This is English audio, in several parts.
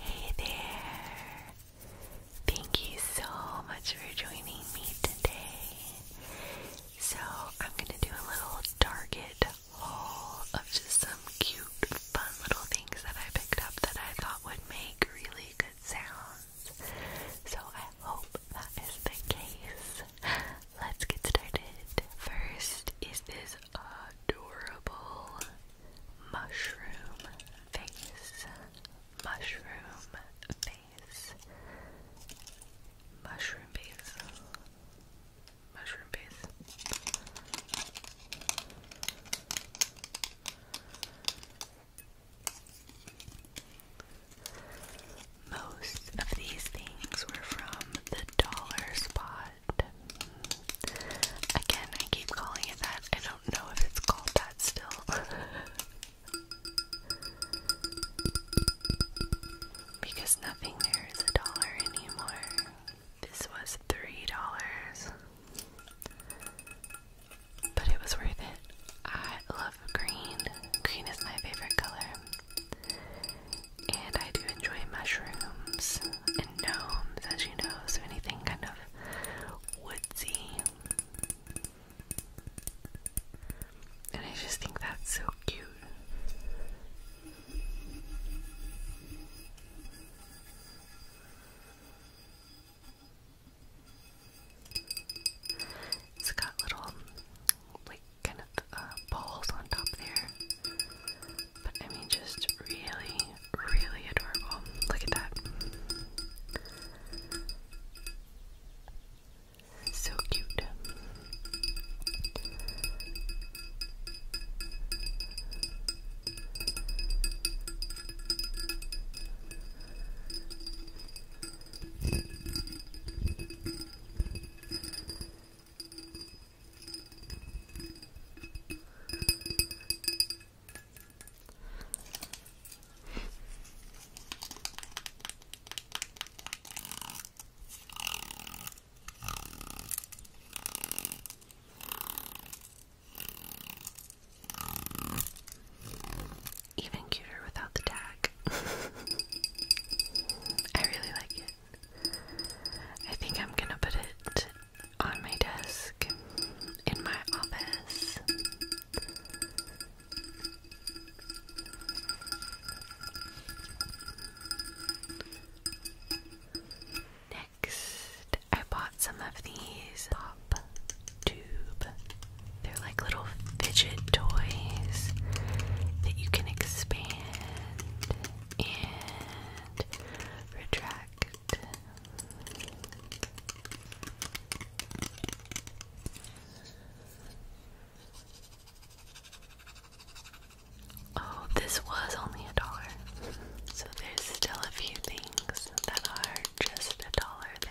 Hey there! Thank you so much for joining me today. So, I'm gonna do a little Target haul of just some cute, fun little things that I picked up that I thought would make really good sounds. So, I hope that is the case. Let's get started. First is this adorable mushroom face, mushroom face, mushroom face, mushroom face. Most of these things were from the dollar spot again, I keep calling it that. I don't know if it's called that still. because nothing there is a dollar anymore. This was three dollars. But it was worth it. I love green. Green is my favorite color. And I do enjoy mushrooms and gnomes, as you know, so anything kind of woodsy. And I just think that's so cute. It's got little, like, kind of uh, balls on top there. But I mean, just really, really adorable. Look at that. So cute. Even cuter without the tag. I really like it. I think I'm gonna put it on my desk in my office. Next, I bought some of these pop tube. They're like little fidget toys that you can expand and retract. Oh, this was only a dollar. So there's still a few things that are just a dollar there.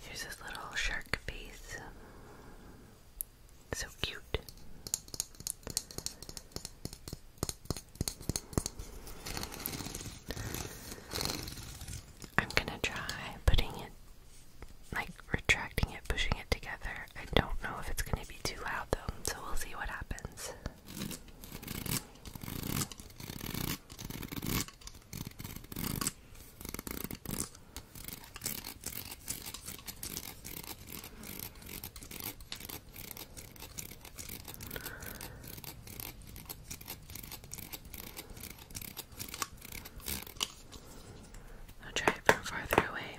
Here's this little shark face. So cute. I'm gonna try putting it, like retracting it, pushing it together. I don't know if it's gonna be too loud though, so we'll see what happens. I'll from farther away.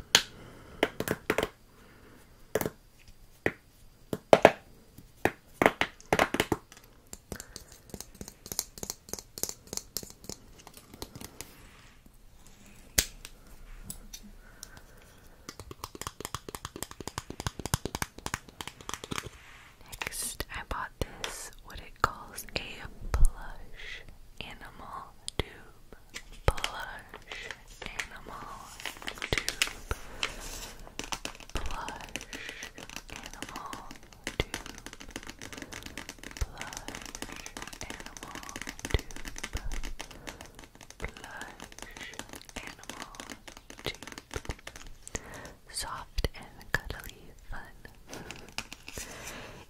Next, I bought this what it calls a plush animal tube. Plush animal tube. Plush animal tube, plush animal tube, plush animal tube. Soft and cuddly fun.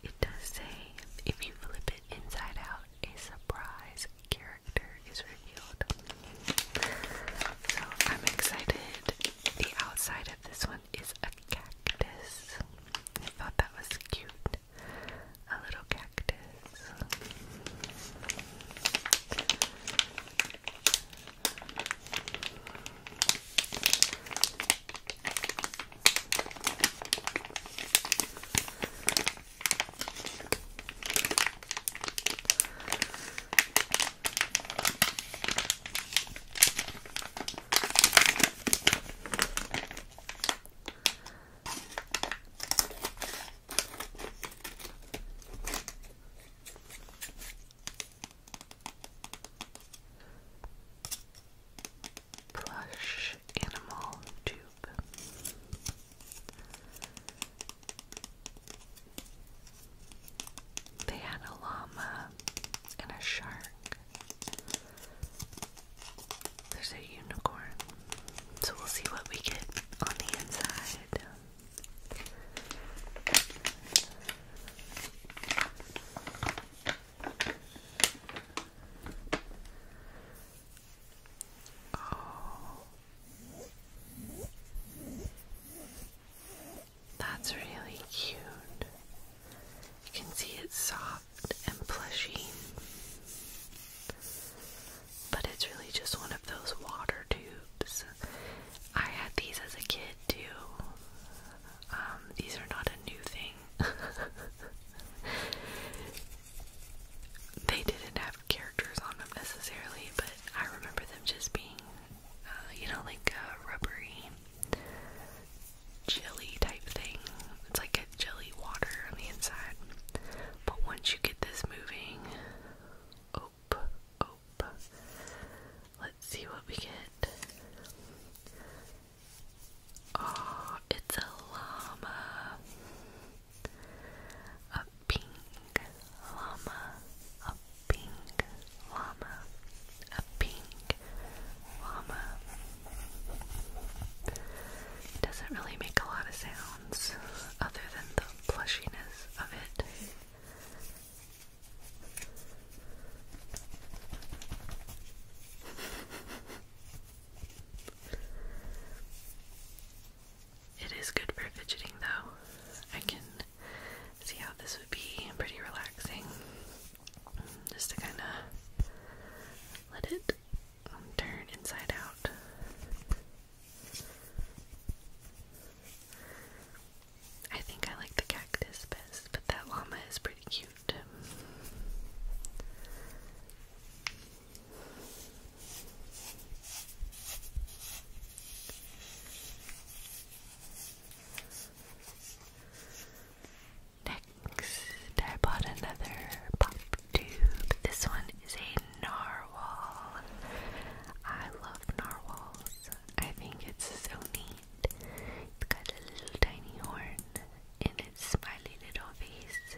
it does say if you flip it inside out, a surprise character is revealed. So I'm excited. The outside of this one is a cactus. I thought that was cute. A little cactus. Plush animal tube. They had a llama and a shark there's a unicorn. So we'll see what we get on the inside. Oh. That's really cute. You can see it's soft and plushy. But it's really just one of those water tubes. I had these as a kid too. Um, these are not a new thing. they didn't have characters on them necessarily, but I remember them just being, uh, you know, like uh, rubbery jelly type thing. It's like a jelly water on the inside. But once you get this moving, oop, oop. Let's see what we get. Oh, it's a llama. A pink llama. A pink llama, a pink llama. doesn't really make a lot of sounds other than the plushiness of it. It is good for fidgeting though. I can see how this would be pretty relaxing just to kind of let it turn inside out. I think I like the cactus best, but that llama is pretty cute. Next, I bought another pop tube. This one is a narwhal. I love narwhals. I think it's so neat. It's got a little tiny horn in its smiley little face.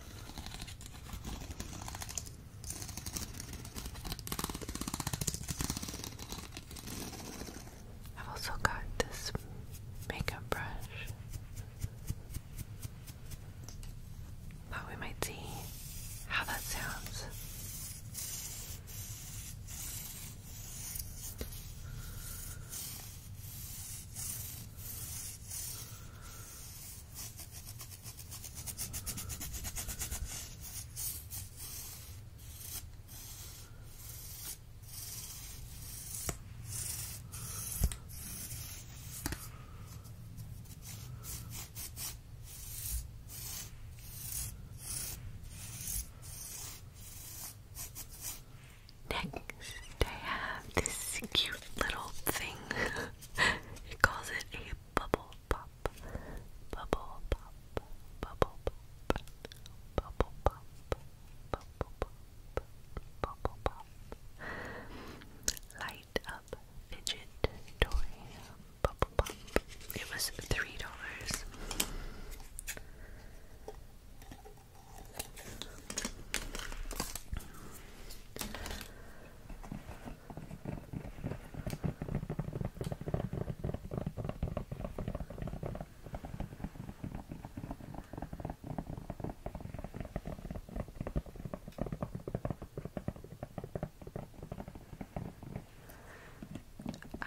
I've also got this makeup brush but we might see how that sounds Next, I have this cute little thing. he calls it a bubble pop. Bubble pop. Bubble pop. Bubble pop. Bubble pop. Bubble pop. Light up fidget toy. Bubble pop. It was three dollars.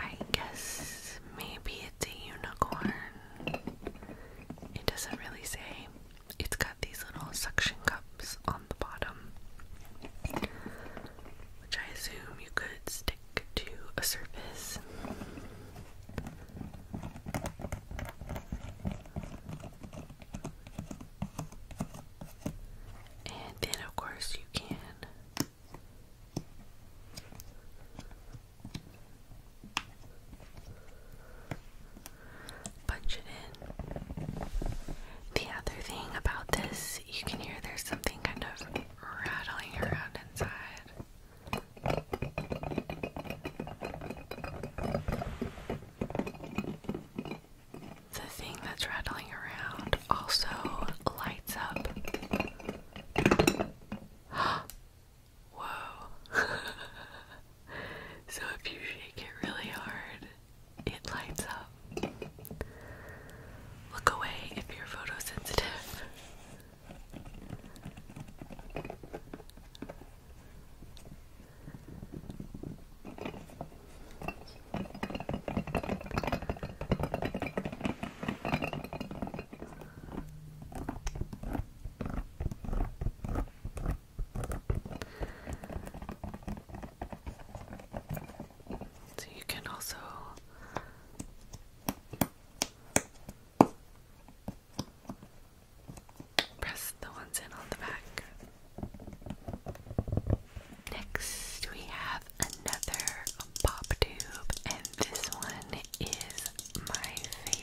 I guess maybe it's a unicorn. It doesn't really say. It's got these little suction cups on the bottom, which I assume you could stick to a surface. And then, of course, you can Punch it in. The other thing about this, you can hear there's something kind of rattling around inside. The thing that's rattling around also lights up. Whoa. so if you shake it really hard, it lights up. Look away if you're photosensitive. So you can also press the ones in on the back. Next, we have another pop tube, and this one is my favorite.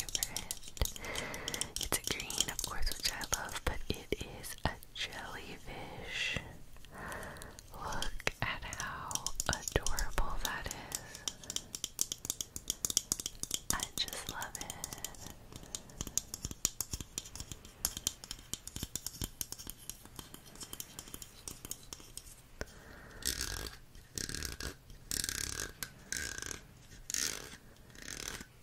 It's a green, of course, which I love, but it is a jellyfish. Look at how adorable that is. I just love it.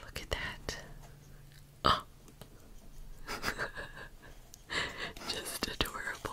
Look at that. Oh. Just adorable.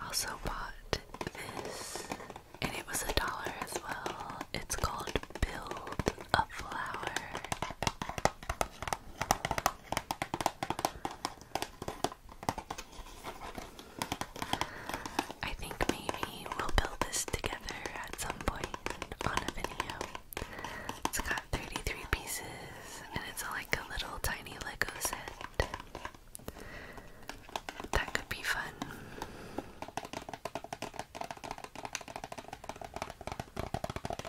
I also bought this, and it was a dollar as well. It's called Build a Flower. I think maybe we'll build this together at some point on a video. It's got 33 pieces and it's like a little tiny Lego set. That could be fun.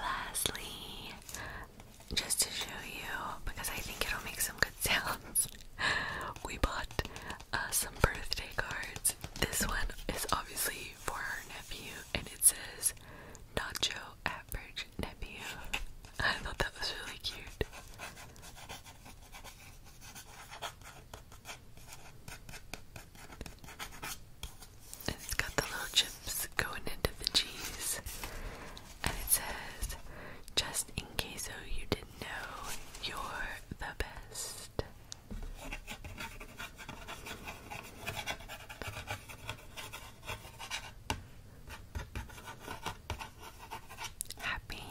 Lastly, just to show you because I think it'll make some good sounds. we bought uh, some birthday cards. This one is obviously for our nephew, and it says Nacho Average Nephew. I thought that was really cute. it's got the little chips going into the cheese and it says, just in case oh you didn't know, you're the best. Happy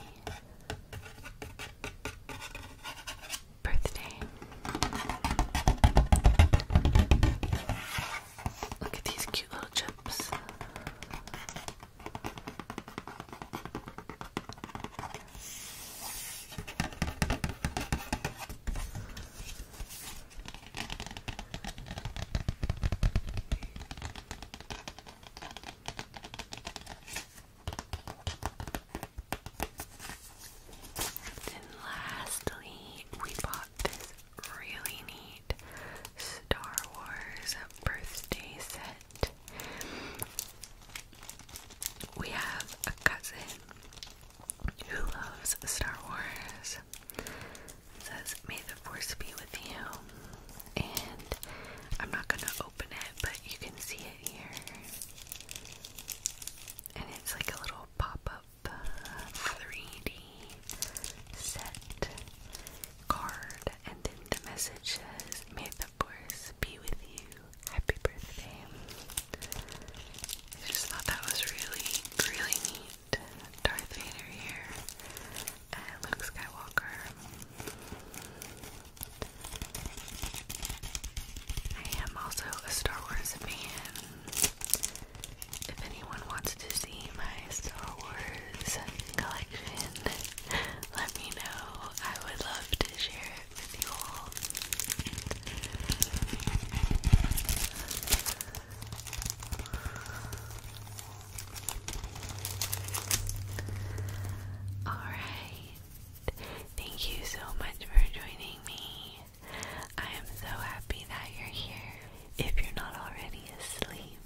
birthday. Look at these cute little chips. Then lastly, we bought this really neat Star Wars birthday set. We have a cousin who loves Star Wars. It says, May the Force be with you. And I'm not going to open it, but you can see it here. And it's like a little pop up 3D uh, set card and then the message says, May the force be with you. Happy birthday. I just thought that was really, really neat. Darth Vader here. Luke Skywalker. I am also a Star Wars fan if anyone wants to see my Star Wars collection, let me know. I would love to share it with you all. Alright, thank you so much for joining me. I am so happy that you're here. If you're not already asleep,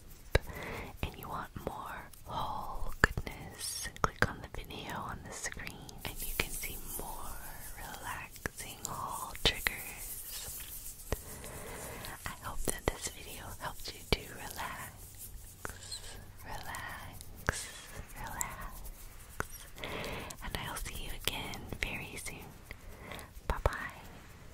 and you want more whole goodness, click on the video on the screen and you can see more relaxing haul triggers. I hope that this video helped you to relax, relax, relax, and I'll see you again very soon. Bye bye.